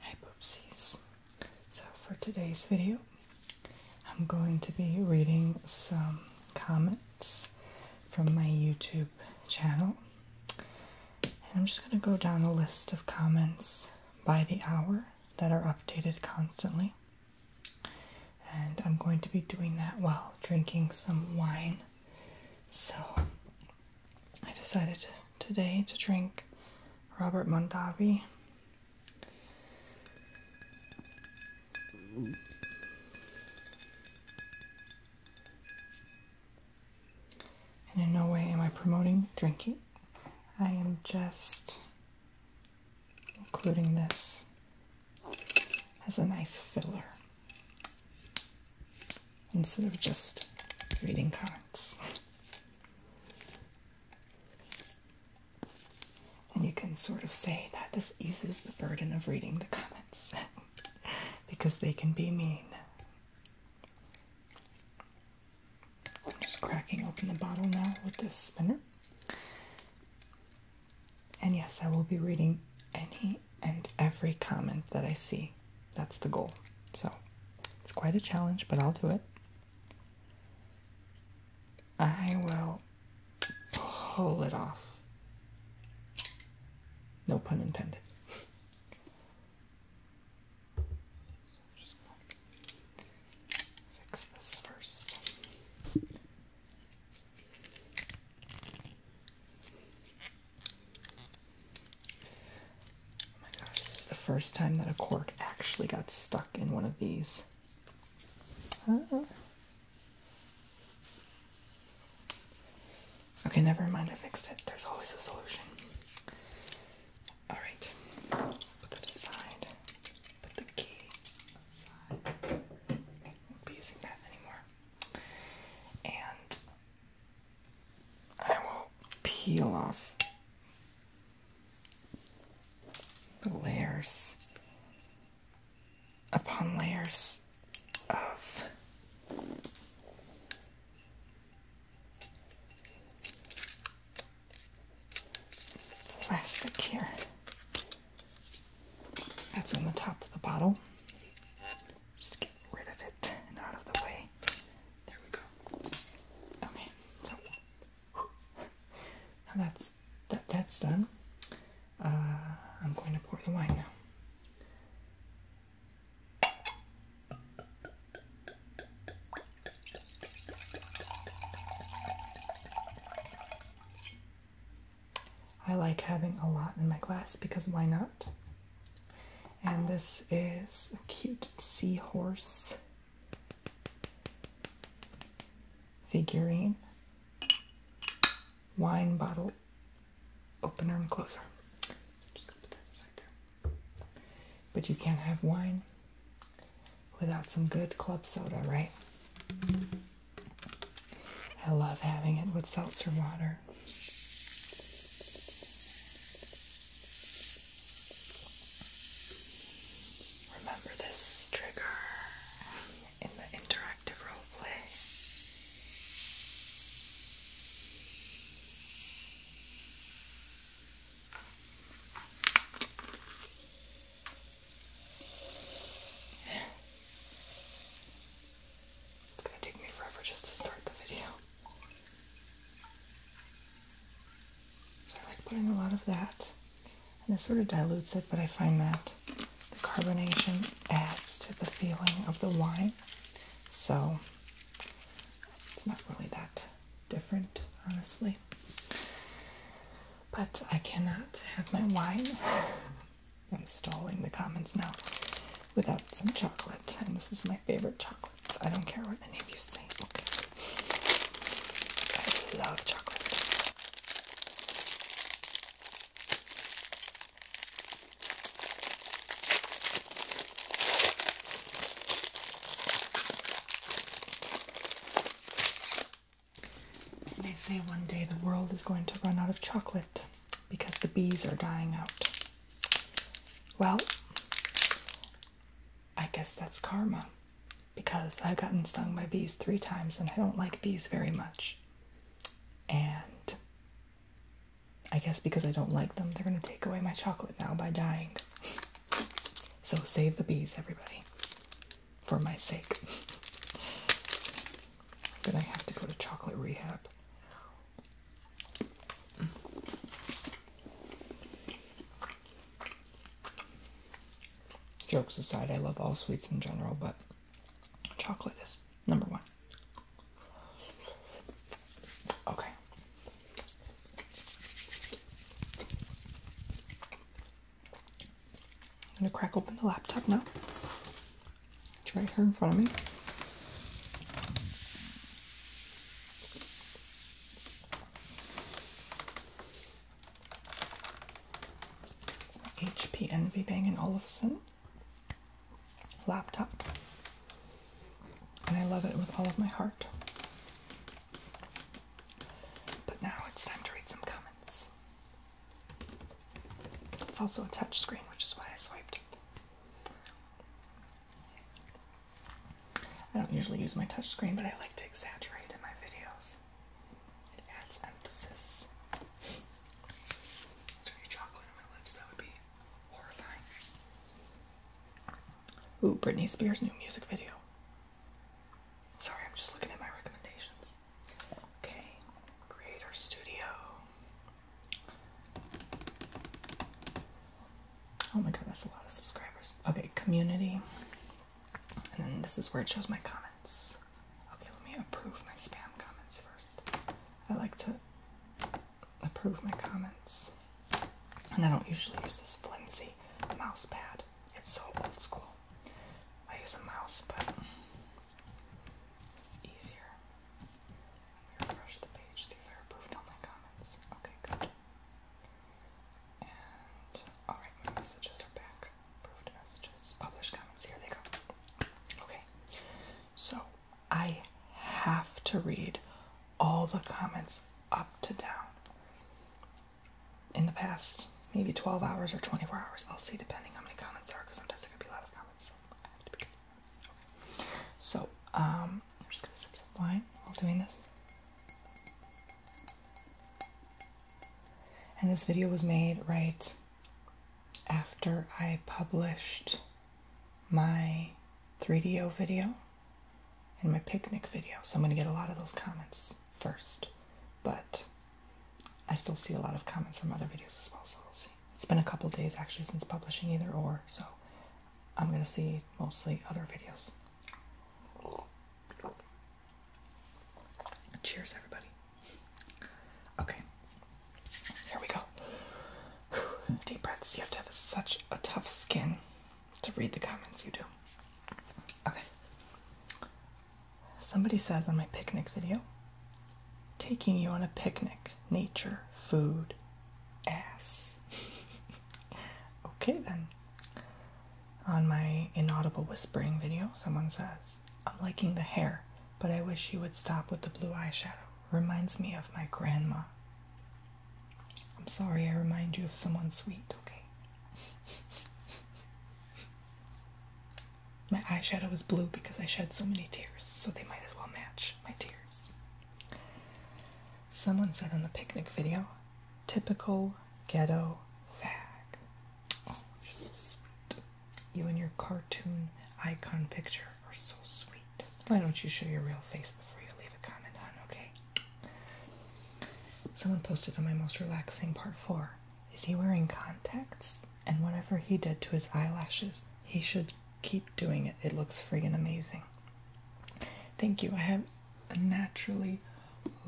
Hi Poopsies! So for today's video, I'm going to be reading some comments from my YouTube channel. And I'm just going to go down a list of comments by the hour that are updated constantly. And I'm going to be doing that while drinking some wine. So I decided today to drink Robert Mondavi. And in no way am I promoting drinking. I am just including this as a nice filler instead of just reading comments, And you can sort of say that this eases the burden of reading the comments because they can be mean. I'm just cracking open the bottle now with this spinner. And yes, I will be reading any and every comment that I see. That's the goal. So it's quite a challenge, but I'll do it. I will pull it off. No pun intended. fix this first. Oh my gosh, this is the first time that a cork actually got stuck in one of these. okay, never mind, I fixed it. There's always a solution. Alright, put that aside. Put the key aside. won't be using that anymore. And I will peel off the layers upon layers of plastic here. That's on the top of the bottle. Just get rid of it and out of the way. There we go. Okay, so now that's that, that's done. Uh, I'm going to pour the wine now. I like having a lot in my glass because why not? And this is a cute seahorse figurine wine bottle opener and closer. But you can't have wine without some good club soda, right? I love having it with seltzer water. Remember this trigger in the interactive role it's gonna take me forever just to start the video. So I like putting a lot of that. And this sort of dilutes it, but I find that the carbonation adds to the feeling of the wine. So it's not really that different, honestly. But I cannot have my wine I'm stalling the comments now without some chocolate. And this is my favorite chocolate. So I don't care what any of you say. Okay. I love chocolate. They say one day the world is going to run out of chocolate because the bees are dying out. Well, I guess that's karma because I've gotten stung by bees three times and I don't like bees very much. And I guess because I don't like them, they're going to take away my chocolate now by dying. So save the bees, everybody, for my sake. I'm going to have to go to chocolate rehab. Jokes aside, I love all sweets in general, but chocolate is number one. Okay. I'm gonna crack open the laptop now. It's right here in front of me. It's my HP Envy Bang & Olufsen laptop. And I love it with all of my heart. But now it's time to read some comments. It's also a touch screen, which is why I swiped. I don't usually use my touchscreen, but I like to exaggerate in my videos. It adds emphasis. Is chocolate on my lips? That would be horrifying. Ooh, Britney Spears' new music video. Sorry, I'm just looking at my recommendations. Okay, Creator Studio. Oh my god, that's a lot of subscribers. Okay, community. And then this is where it shows my comments. Okay, let me approve my spam comments first. I like to approve my comments. And I don't usually use this flimsy mouse pad. It's so old school. I use a mouse, but easier. Refresh the page. See if approved all my comments. Okay, good. And alright, my messages are back. Approved messages. Publish comments. Here they go. Okay. So I have to read all the comments up to down. In the past, maybe 12 hours or 24 hours, I'll see depending how many comments there are because sometimes there could be a lot of comments. So I have to be so, um, I'm just gonna sip some wine while doing this. And this video was made right after I published my 3DO video and my picnic video. So I'm going to get a lot of those comments first. But I still see a lot of comments from other videos as well, so we'll see. It's been a couple days actually since publishing either or, so I'm going to see mostly other videos. Cheers, everybody. Okay, here we go. Deep breaths. You have to have such a tough skin to read the comments you do. Okay. Somebody says on my picnic video, taking you on a picnic. Nature, food, ass. okay then. On my inaudible whispering video, someone says, I'm liking the hair, but I wish you would stop with the blue eyeshadow. Reminds me of my grandma. I'm sorry I remind you of someone sweet, okay? my eyeshadow is blue because I shed so many tears, so they might as well match my tears. Someone said on the picnic video, typical ghetto fag. Oh, you're so sweet. You and your cartoon icon picture are so sweet. Why don't you show your real face before you leave a comment on, okay? Someone posted on my most relaxing part four. Is he wearing contacts? And whatever he did to his eyelashes, he should keep doing it. It looks friggin' amazing. Thank you. I have naturally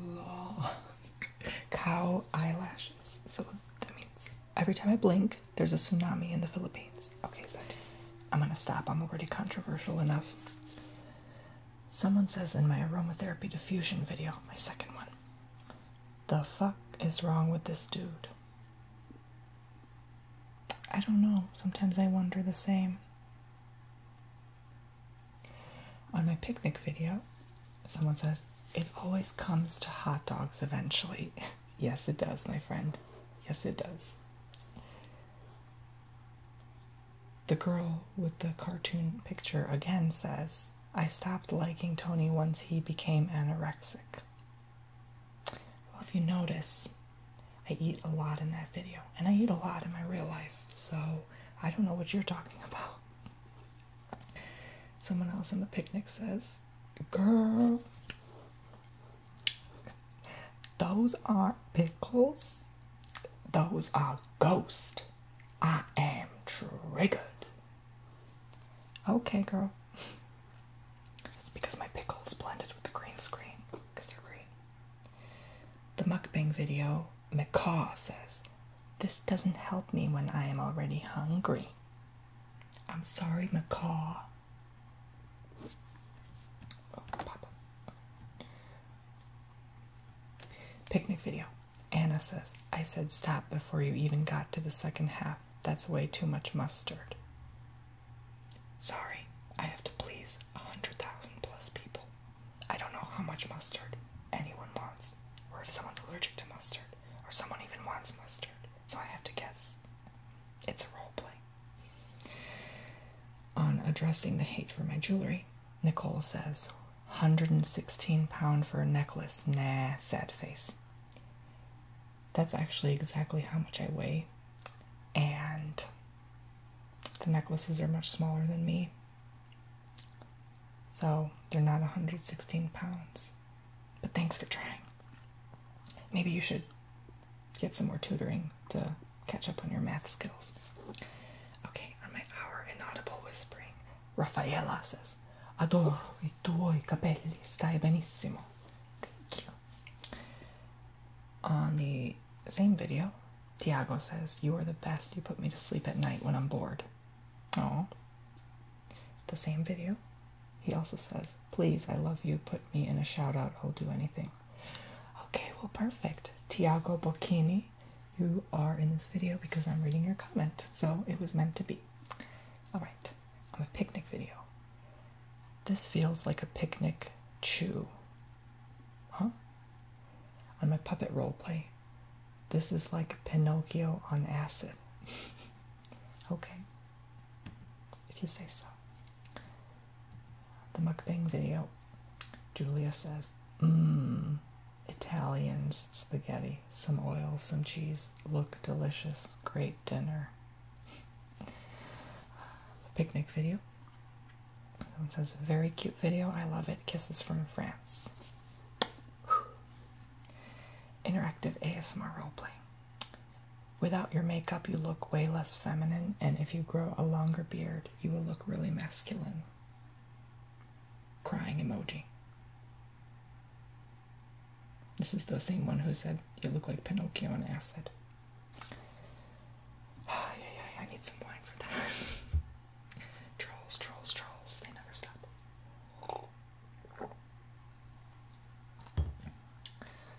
long cow eyelashes. So that means every time I blink, there's a tsunami in the Philippines. Okay, I'm gonna stop. I'm already controversial enough. Someone says in my aromatherapy diffusion video, my second one, the fuck is wrong with this dude? I don't know. Sometimes I wonder the same. On my picnic video, someone says, It always comes to hot dogs eventually. yes, it does, my friend. Yes, it does. The girl with the cartoon picture again says, I stopped liking Tony once he became anorexic. Well, if you notice, I eat a lot in that video, and I eat a lot in my real life, so I don't know what you're talking about. Someone else in the picnic says, Girl, those aren't pickles, those are ghosts. I am triggered. Okay, girl. It's because my pickles blended with the green screen because they're green. The mukbang video, Macaw says, This doesn't help me when I am already hungry. I'm sorry, Macaw. Oh, Picnic video. Anna says, I said stop before you even got to the second half. That's way too much mustard. Sorry, I have to please a hundred thousand plus people. I don't know how much mustard anyone wants, or if someone's allergic to mustard, or someone even wants mustard, so I have to guess. It's a role play. On addressing the hate for my jewelry, Nicole says, 116 pound for a necklace, nah, sad face that's actually exactly how much I weigh, and the necklaces are much smaller than me. So they're not 116 pounds. But thanks for trying. Maybe you should get some more tutoring to catch up on your math skills. Okay, on my hour inaudible whispering, Raffaella says, Adoro i tuoi capelli, stai benissimo. Thank you. On the same video, Tiago says, You are the best. You put me to sleep at night when I'm bored. Oh. The same video, he also says, Please, I love you. Put me in a shout out. I'll do anything. Okay, well, perfect. Tiago Bocchini, you are in this video because I'm reading your comment. So it was meant to be. All right on a picnic video. This feels like a picnic chew. Huh? On my puppet role play, this is like Pinocchio on acid. okay. If you say so. The mukbang video. Julia says, Mmm, Italians spaghetti, some oil, some cheese. Look delicious. Great dinner. picnic video. Someone says, a very cute video. I love it. Kisses from France. Interactive ASMR roleplay. Without your makeup, you look way less feminine, and if you grow a longer beard, you will look really masculine. Crying emoji. This is the same one who said you look like Pinocchio and acid. Oh, yeah, yeah, I need some wine for that. trolls, trolls, trolls. They never stop.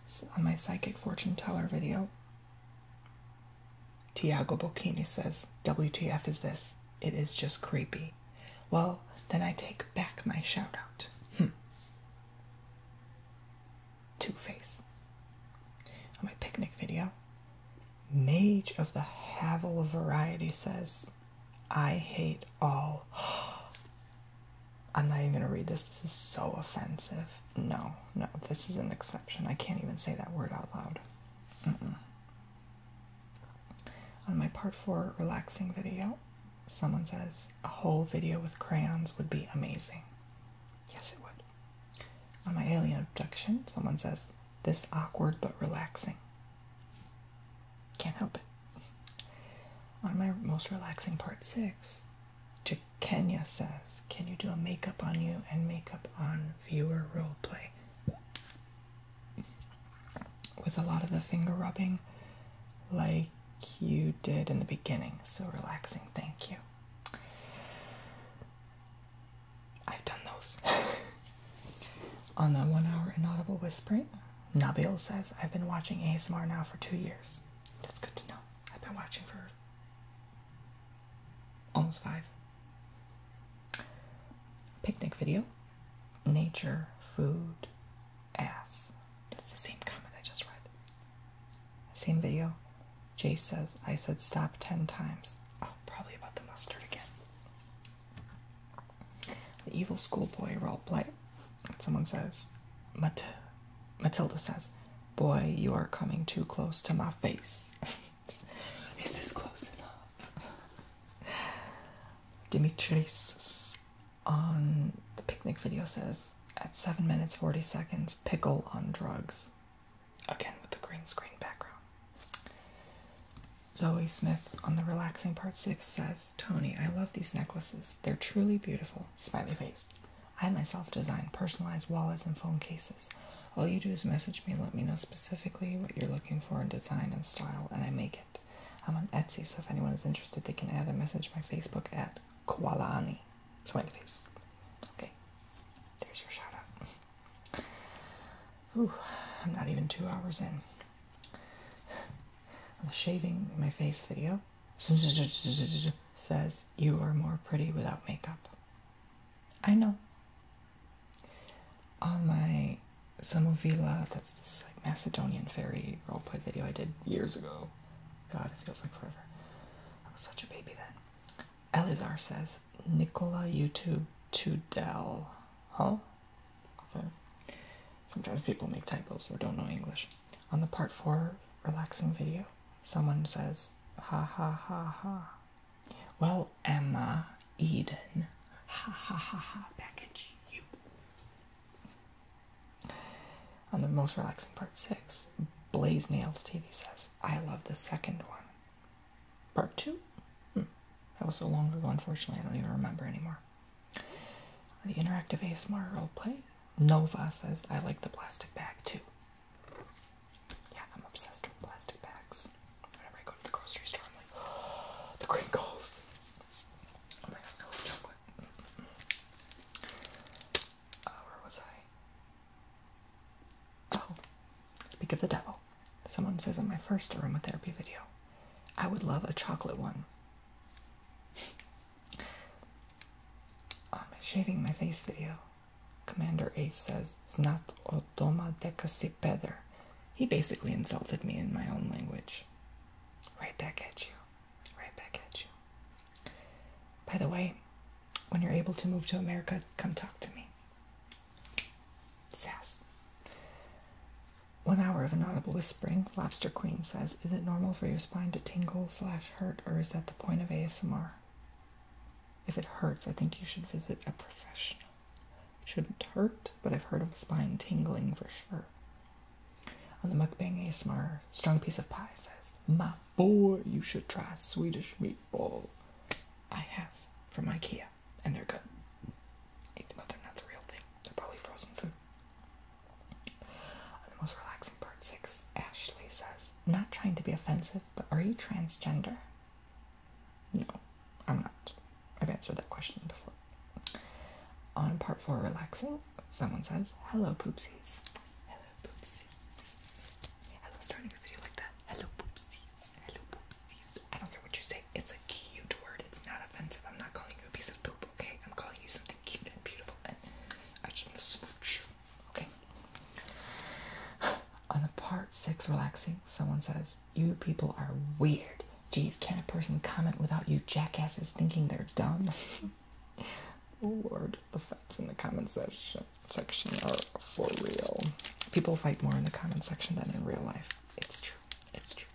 So on my psychic fortune teller video, Tiago Bocchini says, WTF is this? It is just creepy. Well, then I take back my shout out. Hmm. Two Face. On my picnic video, Mage of the Havel variety says, I hate all. I'm not even gonna read this. This is so offensive. No, no, this is an exception. I can't even say that word out loud. On my part four relaxing video, someone says a whole video with crayons would be amazing. Yes, it would. On my alien abduction, someone says this awkward but relaxing. Can't help it. On my most relaxing part six, to Kenya says, Can you do a makeup on you and makeup on viewer role play With a lot of the finger rubbing, like you did in the beginning. So relaxing, thank you. I've done those. On the one hour inaudible whispering, Nabil says, I've been watching ASMR now for two years. That's good to know. I've been watching for almost five. Picnic video, nature, food, ass. That's the same comment I just read. Same video. Jay says, I said stop 10 times. Oh, probably about the mustard again. The evil schoolboy role play. Someone says, Mat Matilda says, Boy, you are coming too close to my face. Is this close enough? Dimitris on the picnic video says at 7 minutes 40 seconds, pickle on drugs. Again, with the green screen background. Zoe Smith on the relaxing part 6 says, Tony, I love these necklaces. They're truly beautiful. Smiley face. I myself design personalized wallets and phone cases. All you do is message me, let me know specifically what you're looking for in design and style, and I make it. I'm on Etsy, so if anyone is interested, they can add a message my Facebook ad. Kualani. my face. Okay. There's your shout out. Ooh, I'm not even two hours in. On the shaving my face video says you are more pretty without makeup. I know. On my Samovila, that's this like Macedonian fairy roleplay video I did years ago. God, it feels like forever. I was such a baby then. Elizar says, Nicola YouTube to Dell, Huh? Sometimes people make typos or don't know English. On the part 4 relaxing video, someone says, ha ha ha ha. Well, Emma Eden. Ha ha ha ha. Package you. On the most relaxing part six, Blaze Nails TV says, I love the second one. Part two? Hmm. That was so long ago, unfortunately, I don't even remember anymore. The interactive ASMR play, Nova says, I like the plastic bag too. Yeah, I'm obsessed with plastic bags. Whenever I go to the grocery store, I'm like, oh, the crinkles. Oh my god, chocolate. Uh, where was I? Oh, speak of the devil. Someone says in my first aromatherapy video, I would love a chocolate one. I'm shaving my face video, Commander Ace says, Znat odoma dekasi peder. He basically insulted me in my own language. Right back at you right back at you. By the way, when you're able to move to America, come talk to me. Sass. One hour of inaudible whispering. Lobster Queen says, Is it normal for your spine to tingle slash hurt, or is that the point of ASMR? If it hurts, I think you should visit a professional. It shouldn't hurt, but I've heard of spine tingling for sure. On the mukbang ASMR, strong piece of pie says, "My boy, you should try Swedish meatball. I have from IKEA, and they're good. Even though they're not the real thing, they're probably frozen food." On the most relaxing part six, Ashley says, "Not trying to be offensive, but are you transgender?" No, I'm not. I've answered that question before. On part four, relaxing, someone says, "Hello, poopsies." Hello poopsies. I love starting a video like that. Hello poopsies. Hello poopsies. I don't care what you say. It's a cute word. It's not offensive. I'm not calling you a piece of poop, okay? I'm calling you something cute and beautiful and I just want to smooch you, okay? On a part six relaxing, someone says, You people are weird. Geez, can a person comment without you jackasses thinking they're dumb? lord, the fights in the comment section section are for real. People fight more in the comment section than in real life. It's true. It's true.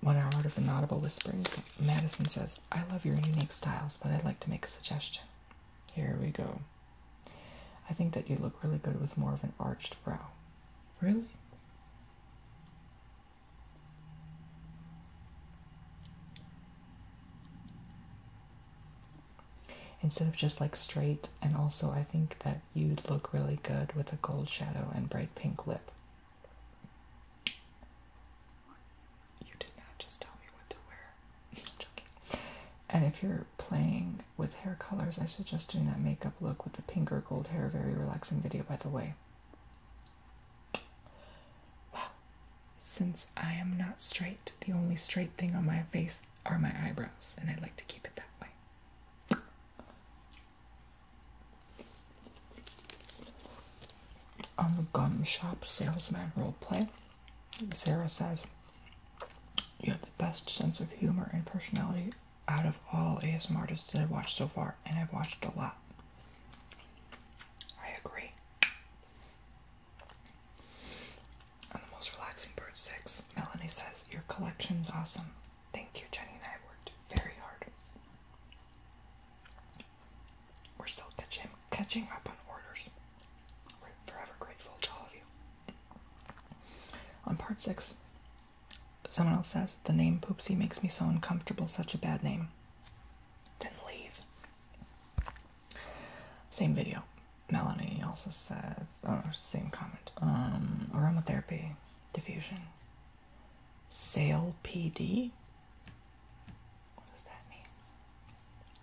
One hour of inaudible whispering. Madison says, I love your unique styles, but I'd like to make a suggestion. Here we go. I think that you look really good with more of an arched brow. Really? Instead of just like straight, and also I think that you'd look really good with a gold shadow and bright pink lip. You did not just tell me what to wear. And if you're playing with hair colors, I suggest doing that makeup look with the pink or gold hair. Very relaxing video, by the way. Wow, since I am not straight, the only straight thing on my face are my eyebrows, and I like to keep it that way. On the gum shop salesman role play, Sarah says, You have the best sense of humor and personality out of all ASM artists that I've watched so far, and I've watched a lot. I agree. On the most relaxing bird six, Melanie says, Your collection's awesome. Thank you, Jenny and I worked very hard. We're still catching catching up on orders. We're forever grateful to all of you. On part six, someone else says, The name Poopsie makes me so uncomfortable, such a bad name. Then leave. Same video. Melanie also says, oh, same comment. Um, aromatherapy, diffusion, sale PD. What does that mean?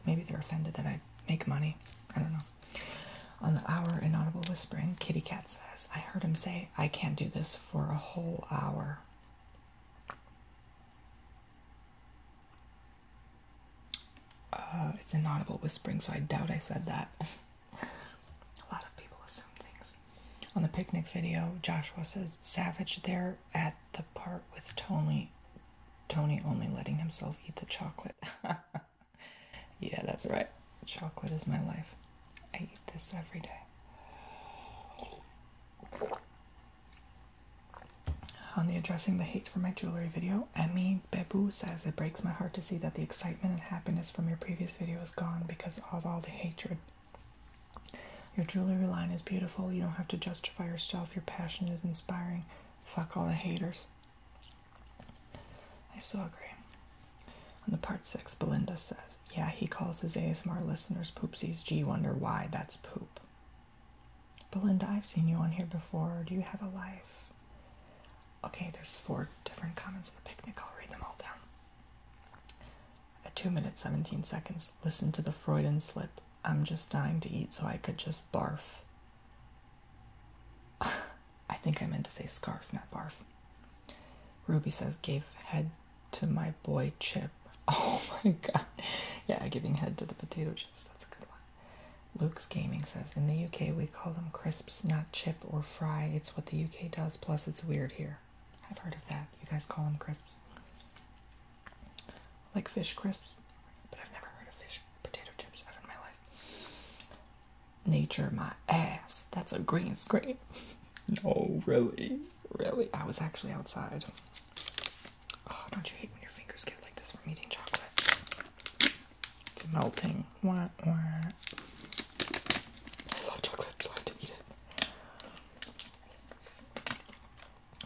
Maybe they're offended that I make money. I don't know. On the hour inaudible whispering, Kitty Cat says, I heard him say, I can't do this for a whole hour. Uh, it's inaudible whispering, so I doubt I said that. A lot of people assume things. On the picnic video, Joshua says Savage there at the part with Tony. Tony only letting himself eat the chocolate. yeah, that's right. Chocolate is my life. I eat this every day. On the addressing the hate for my jewelry video, Emmy Bebu says it breaks my heart to see that the excitement and happiness from your previous video is gone because of all the hatred. Your jewelry line is beautiful. You don't have to justify yourself. Your passion is inspiring. Fuck all the haters. I so agree. On the part six, Belinda says, yeah, he calls his ASMR listeners poopsies. Gee, wonder why. That's poop. Belinda, I've seen you on here before. Do you have a life? Okay, there's four different comments at the picnic. I'll read them all down. At 2 minutes 17 seconds, listen to the Freudian slip. I'm just dying to eat so I could just barf. I think I meant to say scarf, not barf. Ruby says, gave head to my boy Chip. Oh my god. Yeah, giving head to the potato chips. That's a good one. Luke's Gaming says In the UK, we call them crisps, not chip or fry. It's what the UK does, plus it's weird here. I've heard of that. You guys call them crisps. Like fish crisps, but I've never heard of fish potato chips ever in my life. Nature, my ass. That's a green screen. no, really. Really? I was actually outside. Oh, don't you hate when your fingers get like this from eating chocolate? It's melting. Wah, wah. I love chocolate, so I have to eat it.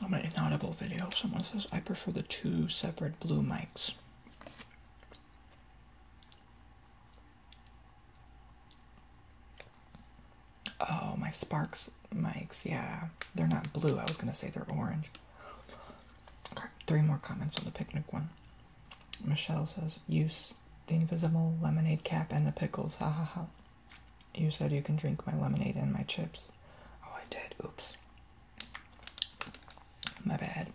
On an inaudible video, someone says, I prefer the two separate blue mics. Oh, my Sparks mics. Yeah, they're not blue. I was going to say they're orange. three more comments on the picnic one. Michelle says, use the invisible lemonade cap and the pickles. Ha ha ha. You said you can drink my lemonade and my chips. Oh, I did. Oops. My bad.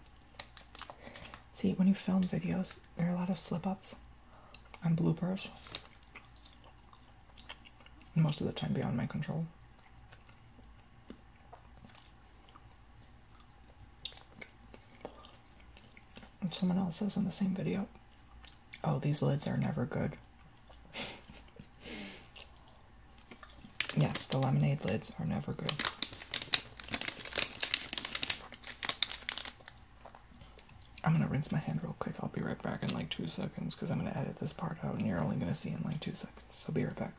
See, when you film videos, there are a lot of slip ups and bloopers most of the time beyond my control. someone else says in the same video, oh, these lids are never good. yes, the lemonade lids are never good. I'm gonna rinse my hand real quick. I'll be right back in like two seconds because I'm gonna edit this part out and you're only gonna see in like two seconds. I'll be right back.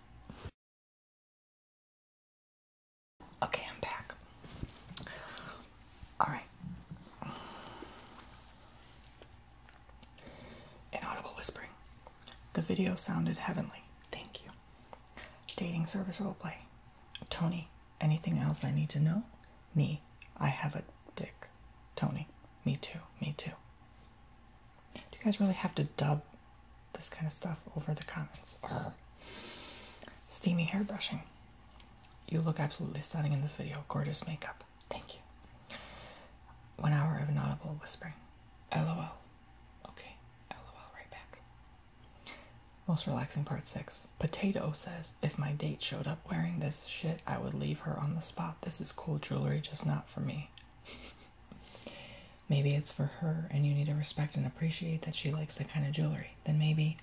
Okay, I'm back. Alright. Inaudible whispering. The video sounded heavenly. Thank you. Dating service roleplay. Tony, anything else I need to know? Me, I have a dick. Tony. Me too. Me too. Do you guys really have to dub this kind of stuff over the comments? Ugh. Steamy brushing. You look absolutely stunning in this video. Gorgeous makeup. Thank you. One hour of audible whispering. LOL. Okay, LOL right back. Most relaxing part six. Potato says, if my date showed up wearing this shit, I would leave her on the spot. This is cool jewelry, just not for me. maybe it's for her and you need to respect and appreciate that she likes that kind of jewelry. Then maybe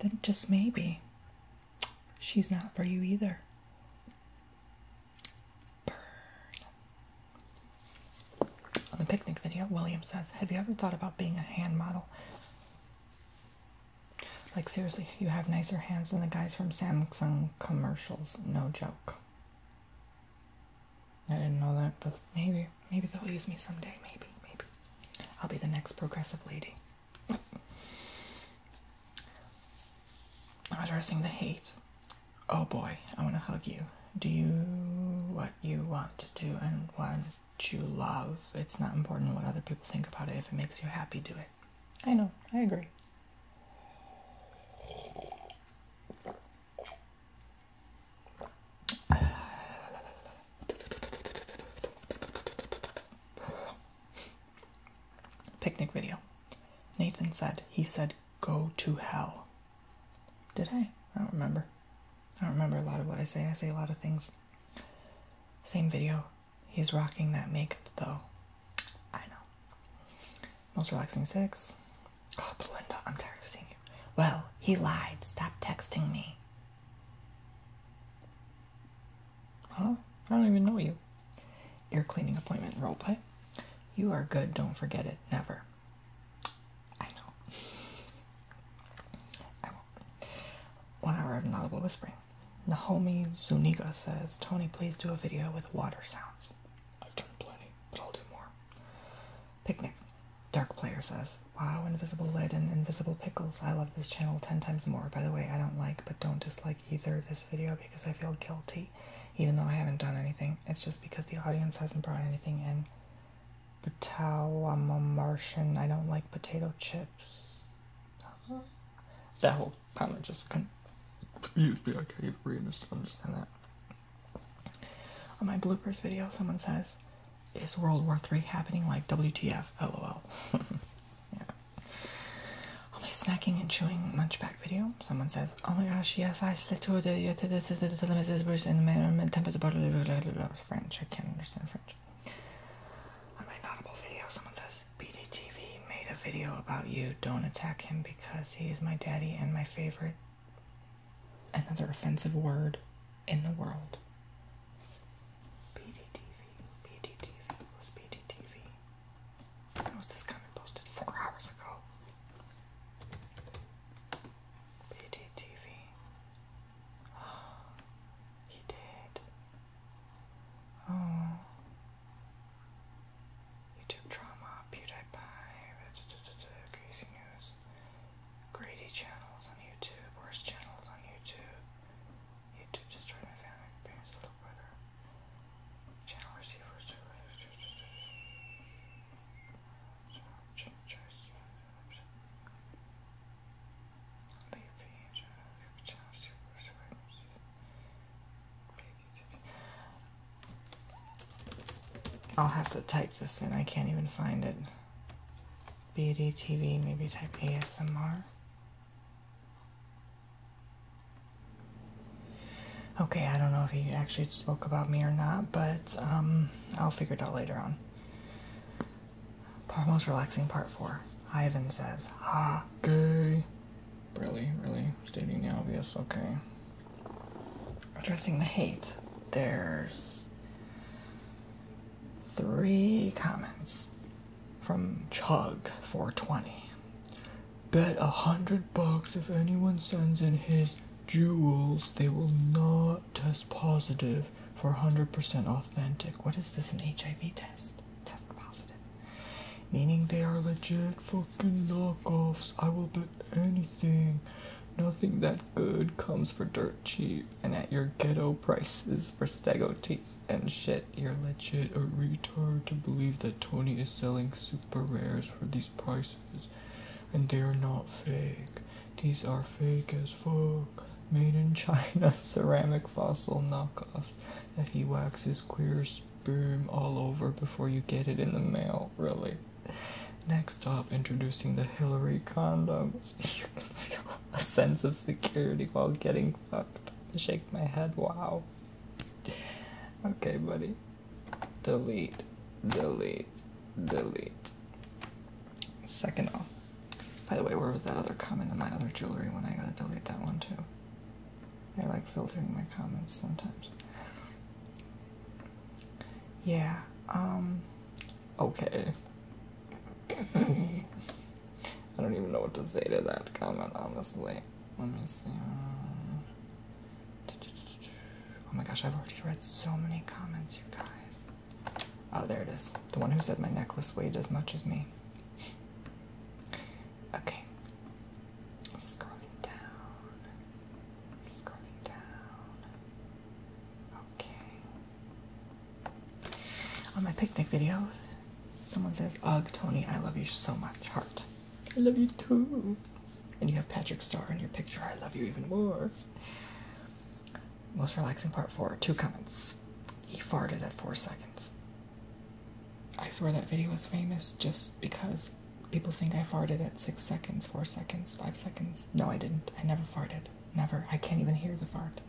then just maybe she's not for you either. On the picnic video, William says, Have you ever thought about being a hand model? Like, seriously, you have nicer hands than the guys from Samsung commercials. No joke. I didn't know that, but maybe, maybe they'll use me someday. Maybe, maybe. I'll be the next progressive lady. Addressing the hate. Oh boy, I want to hug you. Do you what you want to do and what you love? It's not important what other people think about it. If it makes you happy, do it. I know, I agree. Picnic video. Nathan said, he said, go to hell. Did I? I don't remember. I don't remember a lot of what I say. I say a lot of things. Same video. He's rocking that makeup though. I know. Most relaxing sex. Oh, Belinda, I'm tired of seeing you. Well, he lied. Stop texting me. Huh? I don't even know you. Ear cleaning appointment role play. You are good, don't forget it. Never. I know. I will One hour of inaudible whispering. Naomi Zuniga says, Tony, please do a video with water sounds. I've done plenty, but I'll do more. Picnic. Dark Player says, Wow, invisible lead and invisible pickles. I love this channel 10 times more. By the way, I don't like but don't dislike either this video because I feel guilty, even though I haven't done anything. It's just because the audience hasn't brought anything in. Potato, I'm a Martian. I don't like potato chips. That whole kind of just confused me. I can't even understand that. On my bloopers video, someone says, "Is World War III happening like WTF?" LOL. yeah. On my snacking and chewing munchback video, someone says, "Oh my gosh, yeah, I slit to the French. I can't understand French. On my Notable video, someone says, BDTV made a video about you. Don't attack him because he is my daddy and my favorite. Another offensive word in the world. BDTV, BDTV, was BDTV. was this comment posted? Four hours ago. BDTV. he did. Oh. YouTube Drama, PewDiePie, Crazy News, greedy channels on YouTube, Worst channels on YouTube, YouTube Destroyed My Family, Parents Little Brother, Channel Receivers, Choice, I'll have to type this in. I can't even find it. Beauty TV, maybe type ASMR. Okay, I don't know if he actually spoke about me or not, but um, I'll figure it out later on. Part most relaxing, part four. Ivan says, "Ah, gay." Really, really stating the obvious. Okay. Addressing the hate. There's three comments from Chug420. Bet a hundred bucks if anyone sends in his jewels, they will not test positive for 100% authentic. What is this, an HIV test? Test positive meaning they are legit fucking knockoffs. I will bet anything. Nothing that good comes for dirt cheap and at your ghetto prices for stego tape and shit. You're legit a retard to believe that Tony is selling super rares for these prices and they are not fake. These are fake as fuck. Made in China ceramic fossil knockoffs that he waxes queer sperm all over before you get it in the mail, really. Next up, introducing the Hillary condoms. You can feel a sense of security while getting fucked. I shake my head, wow. Okay, buddy. Delete, delete, delete. Second off. By the way, where was that other comment in my other jewelry when I gotta delete that one too? I like filtering my comments sometimes. Yeah, um, okay. I don't even know what to say to that comment, honestly. Let me see. Uh, oh my gosh, I've already read so many comments, you guys. Oh, there it is. The one who said my necklace weighed as much as me. Okay. Scrolling down. Scrolling down. Okay. On my picnic videos, someone says, Ugh, Tony, I love you so much. Heart. I love you too. And you have Patrick Star in your picture. I love you even more. Most relaxing part four. Two comments. He farted at four seconds. I swear that video is famous just because people think I farted at 6 seconds, 4 seconds, 5 seconds. No, I didn't. I never farted. Never. I can't even hear the fart.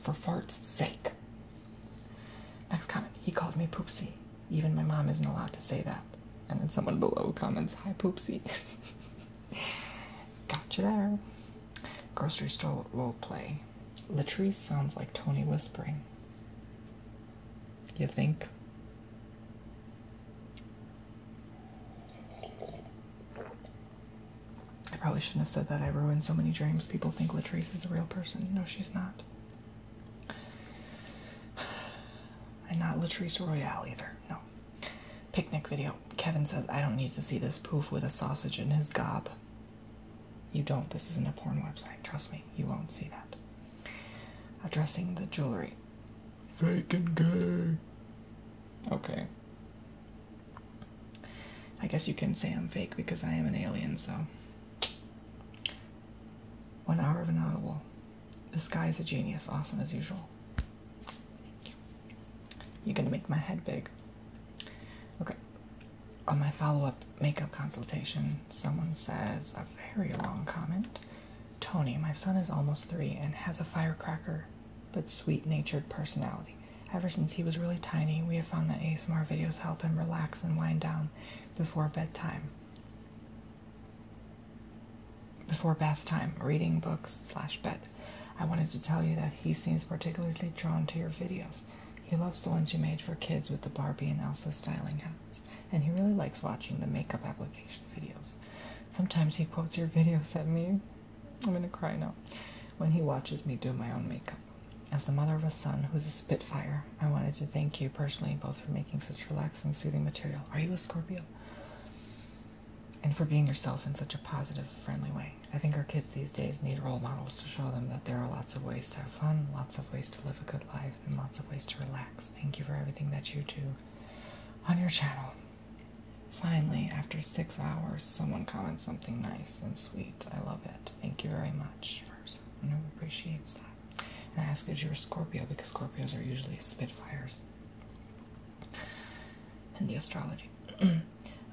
For fart's sake. Next comment. He called me Poopsie. Even my mom isn't allowed to say that. And then someone below comments, Hi Poopsie. Gotcha there. Grocery store role play. Latrice sounds like Tony whispering. You think? I probably shouldn't have said that. I ruined so many dreams. People think Latrice is a real person. No, she's not. And not Latrice Royale either. No. Picnic video. Kevin says, I don't need to see this poof with a sausage in his gob. You don't. This isn't a porn website. Trust me. You won't see that. Addressing the jewelry. Fake and good. Okay. I guess you can say I'm fake because I am an alien, so. One hour of an inaudible. This guy is a genius. Awesome as usual. Thank you. You're gonna make my head big. Okay. On my follow up makeup consultation, someone says a very long comment Tony, my son is almost three and has a firecracker but sweet natured personality. Ever since he was really tiny, we have found that ASMR videos help him relax and wind down before bedtime. Before bath time, reading books slash bed. I wanted to tell you that he seems particularly drawn to your videos. He loves the ones you made for kids with the Barbie and Elsa styling hats, and he really likes watching the makeup application videos. Sometimes he quotes your videos at me. I'm gonna cry now. When he watches me do my own makeup. As the mother of a son who's a spitfire, I wanted to thank you personally both for making such relaxing, soothing material. Are you a Scorpio? And for being yourself in such a positive, friendly way. I think our kids these days need role models to show them that there are lots of ways to have fun, lots of ways to live a good life, and lots of ways to relax. Thank you for everything that you do on your channel. Finally, after six hours, someone comments something nice and sweet. I love it. Thank you very much, person who appreciates that. And I ask if you're a Scorpio because Scorpios are usually Spitfires in the astrology.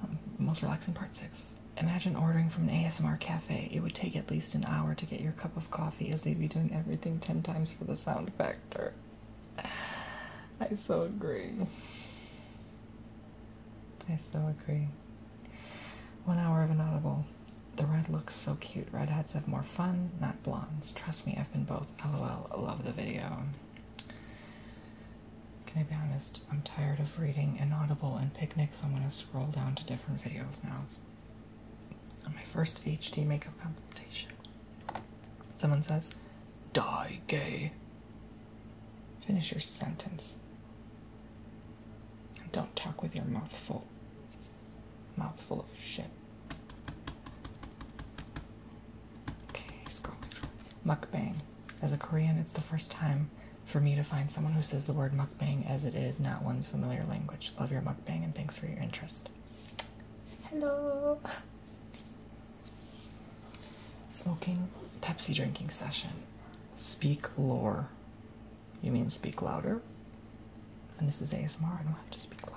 Um, most relaxing part six. Imagine ordering from an ASMR cafe. It would take at least an hour to get your cup of coffee as they'd be doing everything 10 times for the sound factor. I so agree. I so agree. One hour of inaudible. The red looks so cute. Redheads have more fun, not blondes. Trust me, I've been both. LOL. Love the video. Can I be honest? I'm tired of reading Inaudible and picnics. I'm gonna scroll down to different videos now. On my first HD makeup consultation, someone says, "Die gay." Finish your sentence. And don't talk with your mouth full. Mouth full of shit. Okay, scrolling through. Mukbang. As a Korean, it's the first time for me to find someone who says the word mukbang as it is, not one's familiar language. Love your mukbang and thanks for your interest. Hello. Smoking Pepsi drinking session. Speak lore. You mean speak louder? And this is ASMR. I don't have to speak louder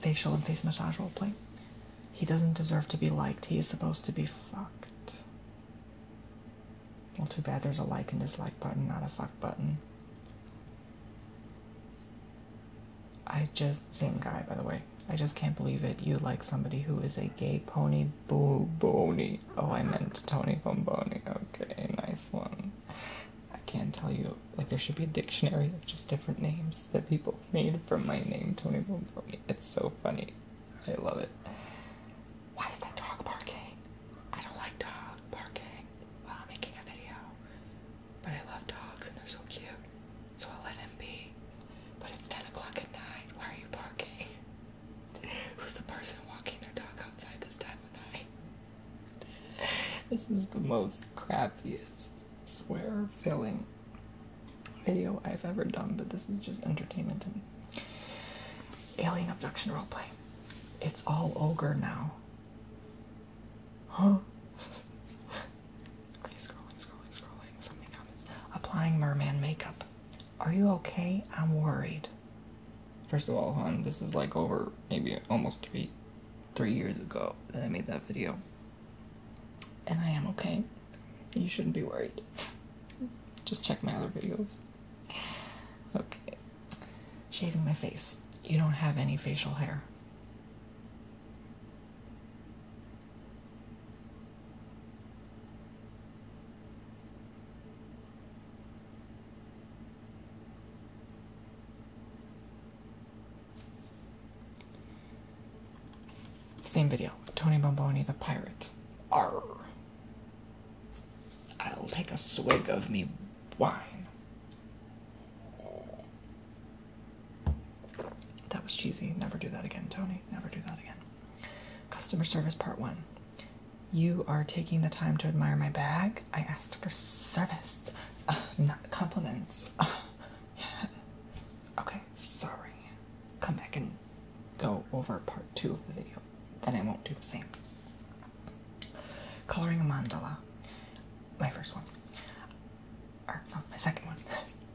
facial and face massage roleplay. He doesn't deserve to be liked. He is supposed to be fucked. Well, too bad there's a like and dislike button, not a fuck button. I just, same guy by the way, I just can't believe it. You like somebody who is a gay pony boo bony. Oh, I meant Tony Bomboni. Okay, nice one. I can't tell you. Like, there should be a dictionary of just different names that people made from my name, Tony Bomboni. It's so funny. I love it. Why is that dog barking? I don't like dog barking while I'm making a video. But I love dogs and they're so cute. So I'll let him be. But it's 10 o'clock at night. Why are you barking? Who's the person walking their dog outside this time of night? this is the most crappiest swear filling video I've ever done, but this is just entertainment and Alien abduction roleplay. It's all ogre now. Huh? scrolling, scrolling, scrolling. Something comments. Applying merman makeup. Are you okay? I'm worried. First of all, hon, this is like over maybe almost three three years ago that I made that video. And I am okay. You shouldn't be worried. Just check my other videos. Okay. Shaving my face. You don't have any facial hair. Same video. Tony Bomboni the pirate. Arr. will take a swig of me wine. That was cheesy. Never do that again, Tony. Never do that again. Customer service part one. You are taking the time to admire my bag. I asked for service. Uh, not compliments. Uh, okay, sorry. Come back and go over part two of the video. Then I won't do the same. Coloring a mandala. My first one. Or, no, my second one.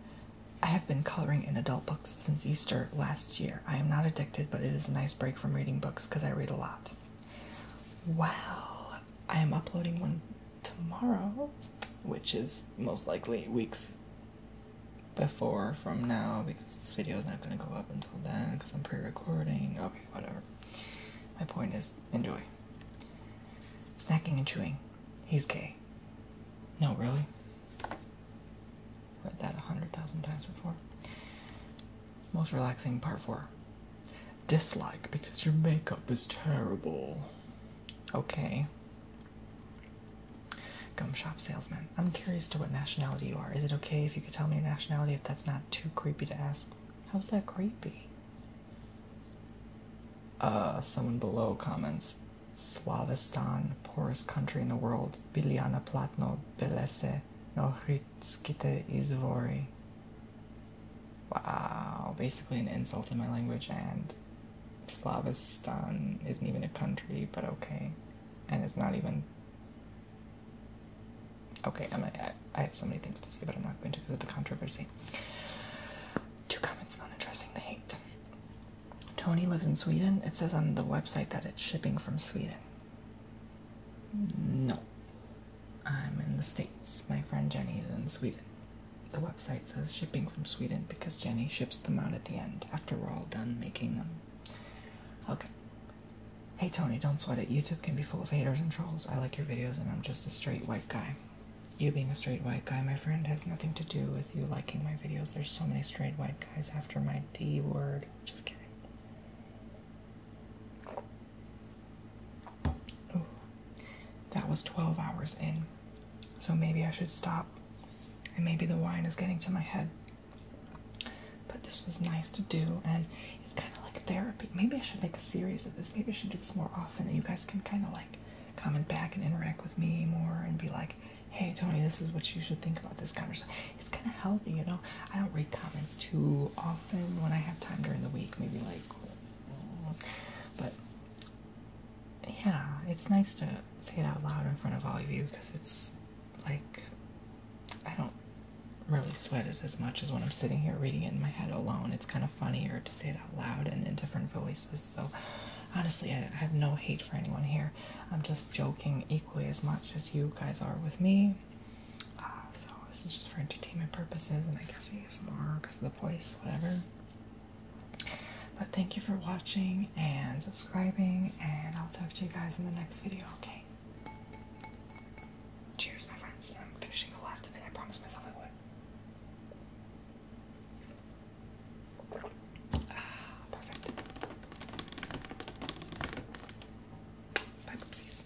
I have been coloring in adult books since Easter last year. I am not addicted, but it is a nice break from reading books because I read a lot. Well, I am uploading one tomorrow, which is most likely weeks before from now because this video is not going to go up until then because I'm pre recording. Okay, whatever. My point is enjoy. Snacking and chewing. He's gay. No, really? Read that a hundred thousand times before. Most relaxing part four. Dislike because your makeup is terrible. Okay. Gum shop salesman. I'm curious to what nationality you are. Is it okay if you could tell me your nationality if that's not too creepy to ask? How's that creepy? Uh, someone below comments Slavistan, poorest country in the world. Biliana Platno, no Nohritskite Izvori. Wow, basically an insult in my language, and Slavistan isn't even a country, but okay. And it's not even. Okay, i I, I have so many things to say, but I'm not going to go of the controversy. Two comments on addressing the hate. Tony lives in Sweden. It says on the website that it's shipping from Sweden. No. I'm in the States. My friend Jenny is in Sweden. The website says shipping from Sweden because Jenny ships them out at the end after we're all done making them. Okay. Hey Tony, don't sweat it. YouTube can be full of haters and trolls. I like your videos and I'm just a straight white guy. You being a straight white guy, my friend, has nothing to do with you liking my videos. There's so many straight white guys after my D word. Just kidding that was 12 hours in. So maybe I should stop. And maybe the wine is getting to my head. But this was nice to do, and it's kind of like therapy. Maybe I should make a series of this. Maybe I should do this more often, and you guys can kind of like comment back and interact with me more and be like, hey, Tony, this is what you should think about this conversation. It's kind of healthy, you know? I don't read comments too often when I have time during the week, maybe like but yeah, it's nice to say it out loud in front of all of you because it's like I don't really sweat it as much as when I'm sitting here reading it in my head alone. It's kind of funnier to say it out loud and in different voices. So honestly, I have no hate for anyone here. I'm just joking equally as much as you guys are with me. Uh, so this is just for entertainment purposes and I guess ASMR because of the voice, whatever. But thank you for watching and subscribing, and I'll talk to you guys in the next video, okay? Cheers, my friends. I'm finishing the last of it. I promised myself I would. Ah, perfect. Bye, poopsies.